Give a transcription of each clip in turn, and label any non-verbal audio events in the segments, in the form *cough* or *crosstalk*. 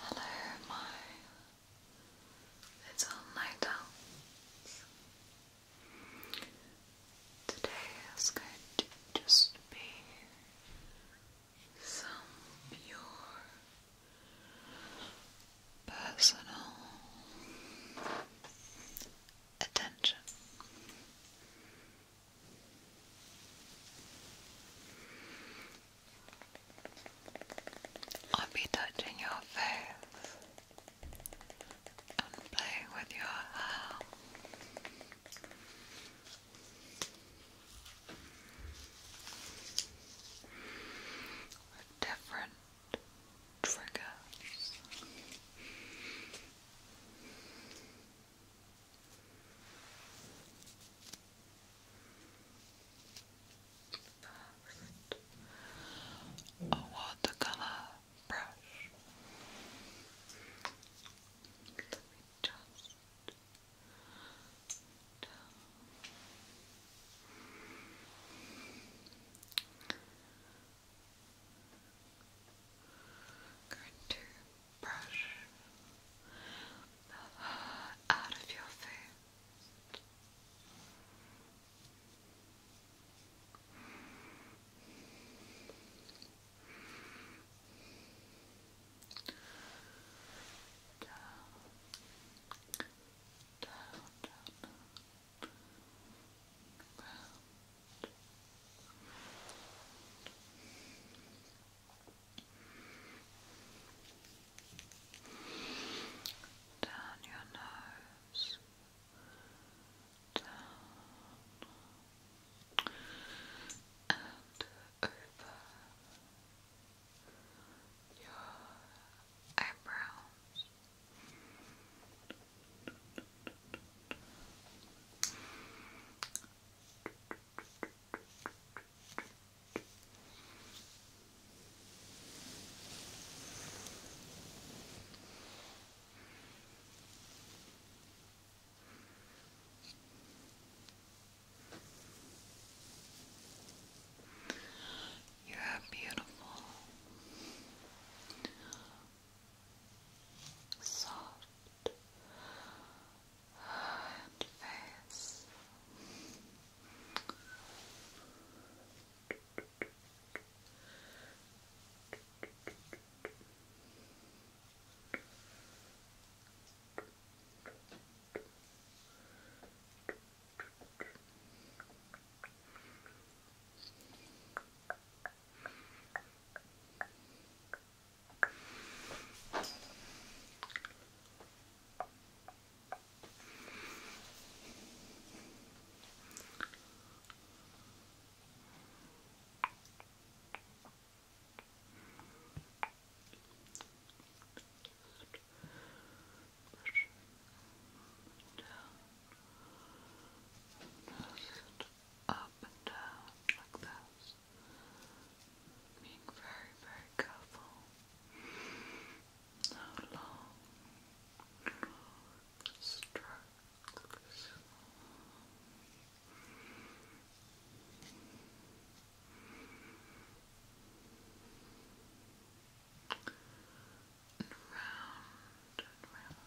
Hello, my little night Today is going to just be some pure personal attention. I'll be touching your face and playing with your hair. different triggers. First, a watercolor brush. Let me just down going to brush out of your face. Down, down, down, down your nose, and over your eyebrows. You are beautiful soft and face. Down, just up and down like this this. Being very, very careful. How long strokes? And round and round.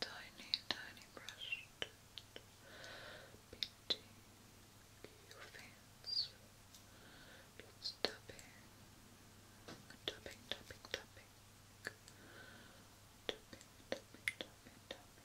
Tiny, tiny brush painting your face. Just tapping, tapping, tapping, tapping, tapping, tapping, tapping, tapping.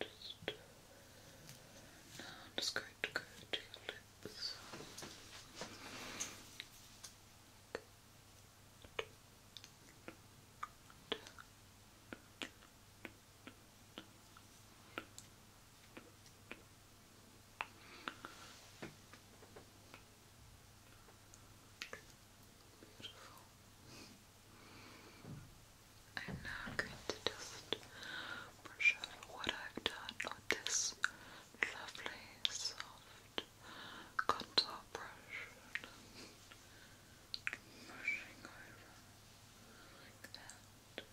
Just, uh, now I'm just going to go to your lips. I'm now going to just brush what I've done with this lovely soft contour brush. Brushing over like that.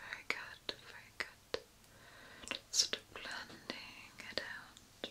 Very good, very good. Sort of blending it out.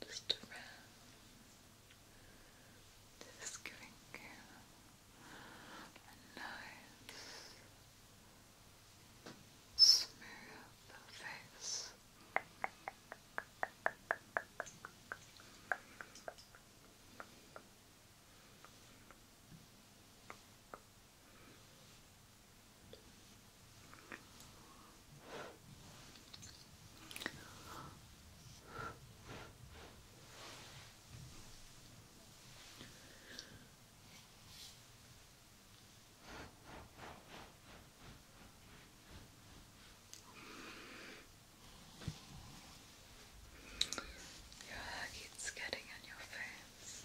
Just around. Just you a nice smooth face. Your hair keeps getting on your face.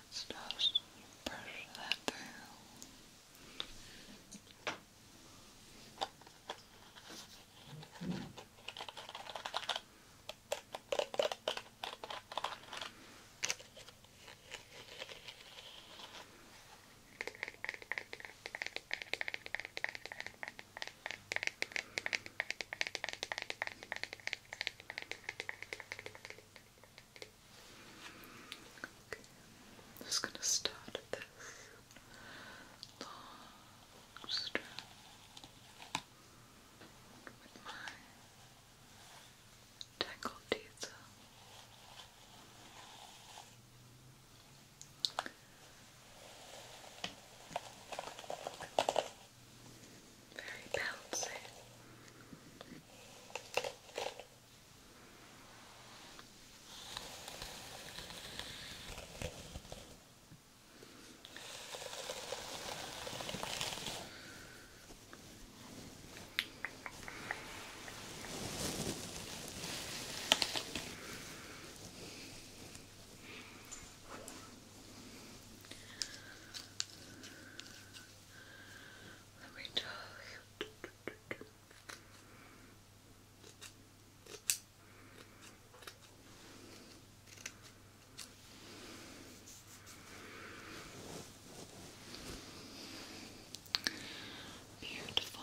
Let's just brush that through. Good. Okay. I'm just going to start this long strap with my tangled teeth. Very bouncy. Let me tell you. Beautiful.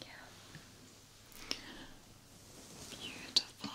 Yeah. Beautiful. Long.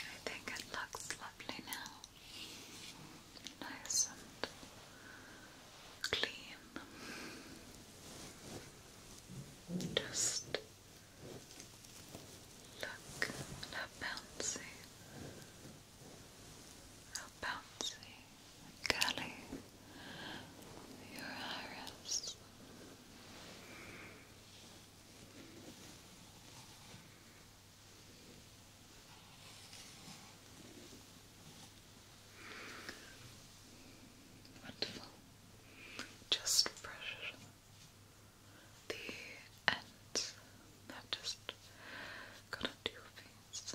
I think it looks lovely now. Nice and clean. Just look how bouncy. How bouncy color of your iris. Wonderful. Just brush the end that just got onto your face.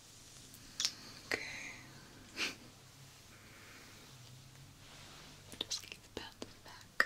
Okay. *laughs* Just keep bouncing back.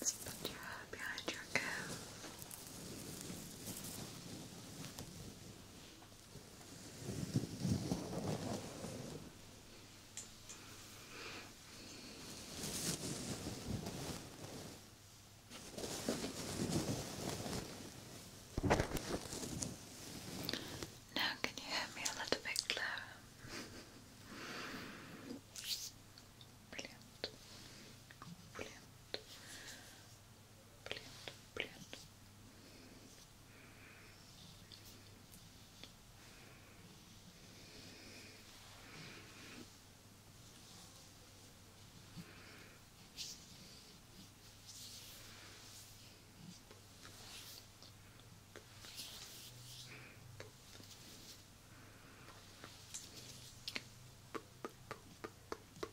Let's put your head behind your ear. Now, can you hear me a little bit clearer? Brilliant. Brilliant. Блин, блин. Пуп, пуп, пуп, пуп,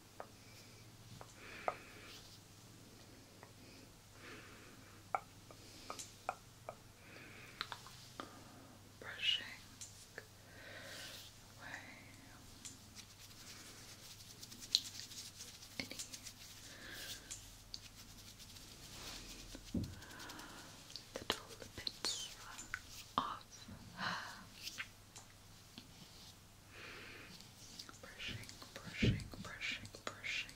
Brushing away any little bits of Brushing, brushing, brushing, brushing.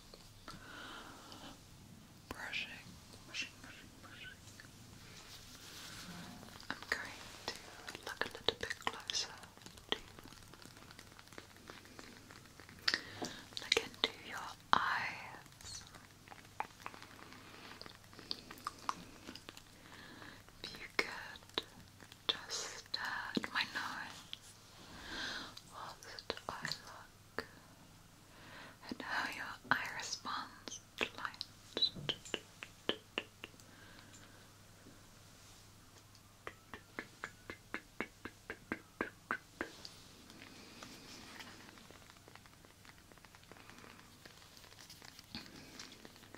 Brushing, brushing, brushing, brushing. I'm going to look a little bit closer to look into your eyes. If you could just at my nose whilst I look at how your eye responds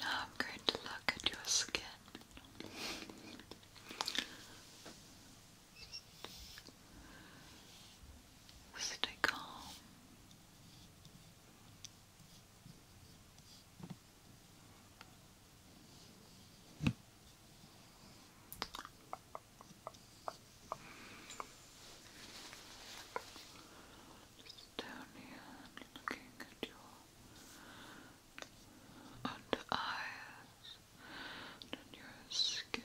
Now I'm going to look at your skin. Stay calm. Just down here, looking at your under eyes, on your skin.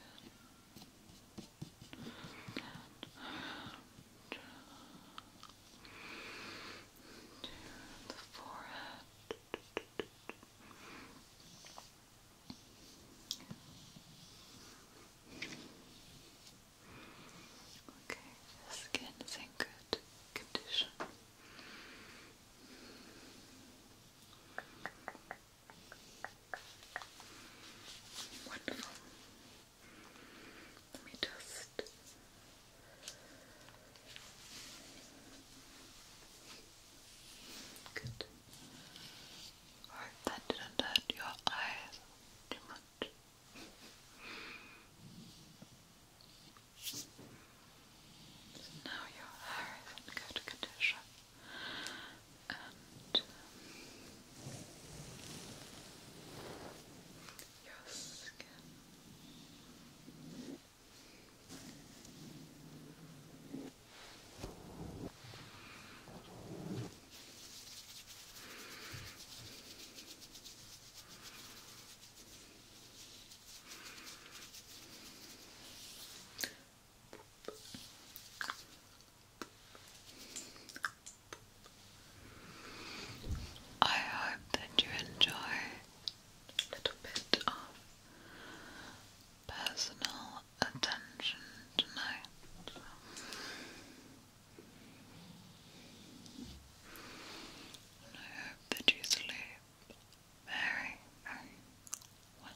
And, the forehead. Okay, skin in good condition. Wonderful. Let me just hope that didn't hurt your eyes too much. So now your hair is in good condition and um, your skin. I hope that you enjoy a little bit of personal attention tonight. I hope that you sleep very, very well.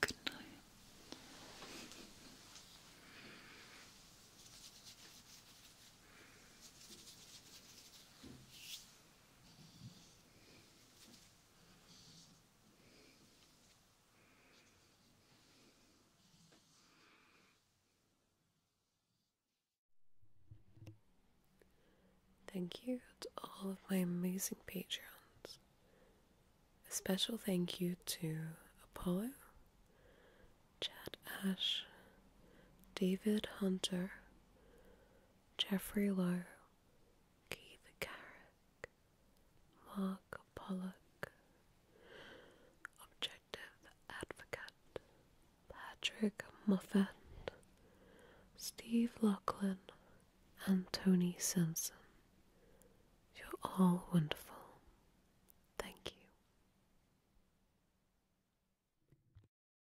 Good night. Thank you to all of my amazing patrons. A special thank you to Apollo, Chad Ash, David Hunter, Jeffrey Lowe, Keith Carrick, Mark Pollock, Objective Advocate, Patrick Moffat, Steve Lachlan, and Tony Simpson. You're all wonderful. Thank you.